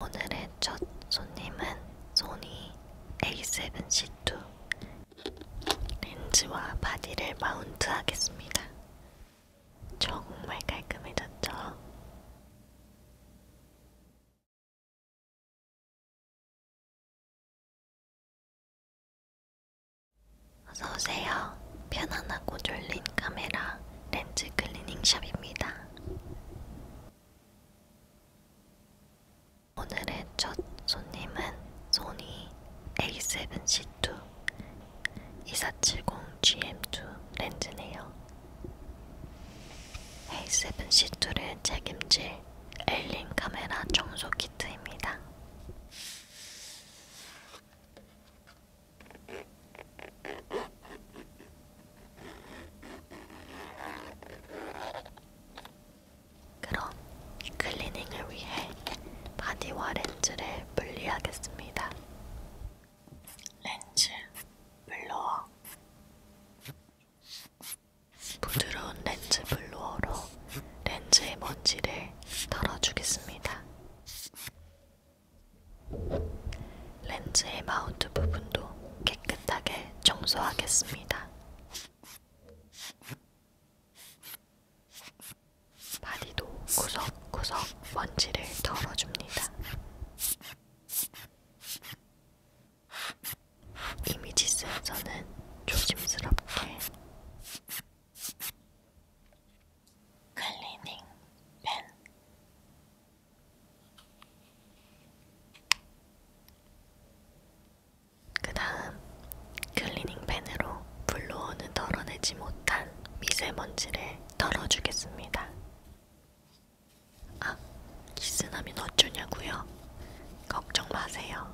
오늘의 첫 손님은 소니 A7C2 렌즈와 바디를 마운트하겠습니다. 정말 깔끔해졌죠? 어서오세요. 편안하고 졸린 카메라 렌즈 클리닝샵입니다. 오늘의 첫 손님은 소니 A7C2 2470GM2 렌즈네요. A7C2를 책임질 엘링 카메라 청소 키트입니다. 그럼 클리닝을 위해 바디와 렌즈를 분리하겠습니다. 렌즈, 블로어 부드러운 렌즈 블로어로 렌즈의 먼지를 털어주겠습니다. 렌즈의 마운트 부분도 깨끗하게 청소하겠습니다. 바디도 구석구석 먼지를 덜어줍니다. 이미지 센서는 조심스럽게 클리닝 펜 그다음 클리닝 펜으로 불러오는 덜어내지 못한 미세먼지를 덜어주겠습니다. 아, 기스나면 어쩌냐고요? 걱정 마세요.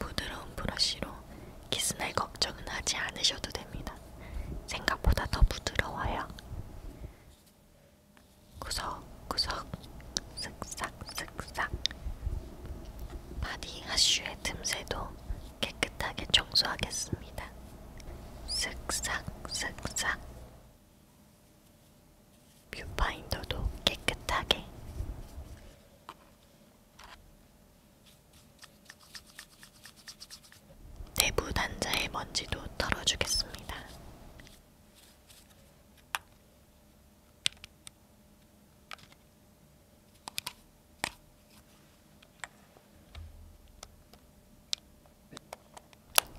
부드러운 브러쉬로 기스날 걱정은 하지 않으셔도 됩니다. 생각보다 더 부드러워요. 구석구석 쓱싹쓱싹 바디 하슈의 틈새도 깨끗하게 청소하겠습니다. 쓱싹쓱싹 뷰파인더도 깨끗하게 내부 단자의 먼지도 털어주겠습니다.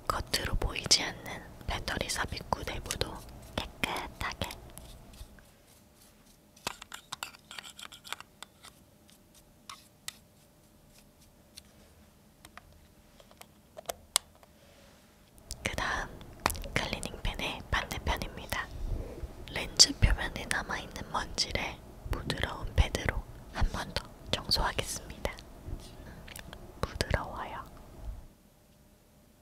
겉으로 보이지 않는 배터리 삽입구 내부도 깨끗하게 그 다음 클리닝 펜의 반대편입니다. 렌즈 표면에 남아있는 먼지를 부드러운 패드로 한 번 더 청소하겠습니다. 음, 부드러워요.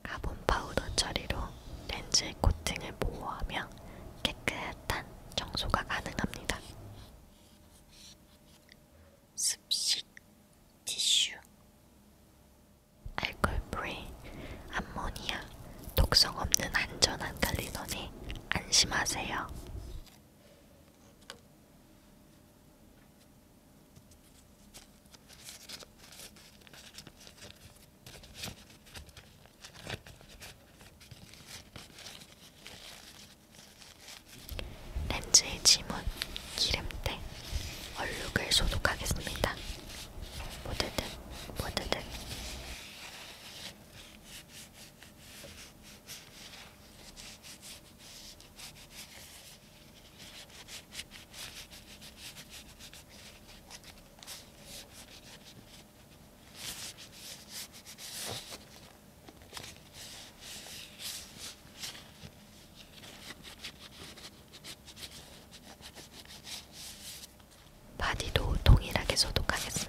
가본 파우더 처리로 렌즈의 코팅을 보호하며 깨끗한 청소가 가능합니다. 습식 티슈 알콜 프리, 암모니아, 독성 없는 안전한 클리너니 안심하세요. 렌즈의 지문, 기름때, 얼룩을 소독하겠습니다. 모드득, 모드득. 바디도 동일하게 소독하겠습니다.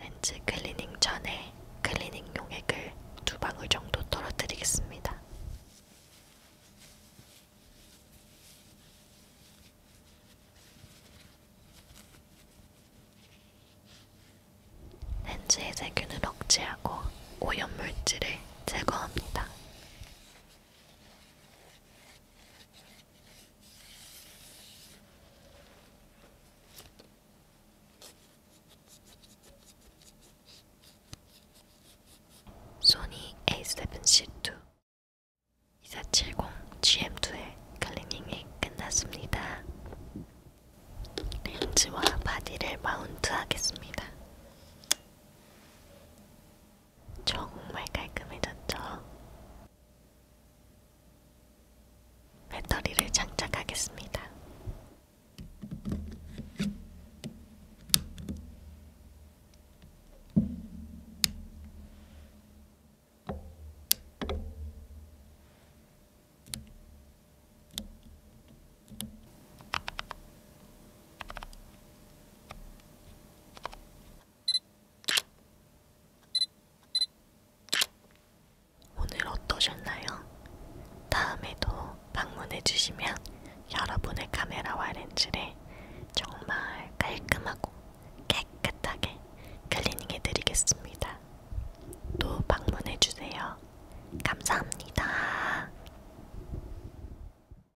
렌즈 클리닝 전에 클리닝 용액을 두 방울 정도 떨어뜨리겠습니다. 렌즈의 세균을 억제하고 오염물질을 제거합니다. 소니 A7C2 2470 GM2의 클리닝이 끝났습니다. 렌즈와 바디를 마운트하겠습니다. 정말 깔끔해졌죠? 배터리를 장착하겠습니다. 오늘 어떠셨나요? 다음에도 방문해주시면 여러분의 카메라와 렌즈를 정말 깔끔하고 깨끗하게 클리닝해드리겠습니다. 또 방문해주세요. 감사합니다.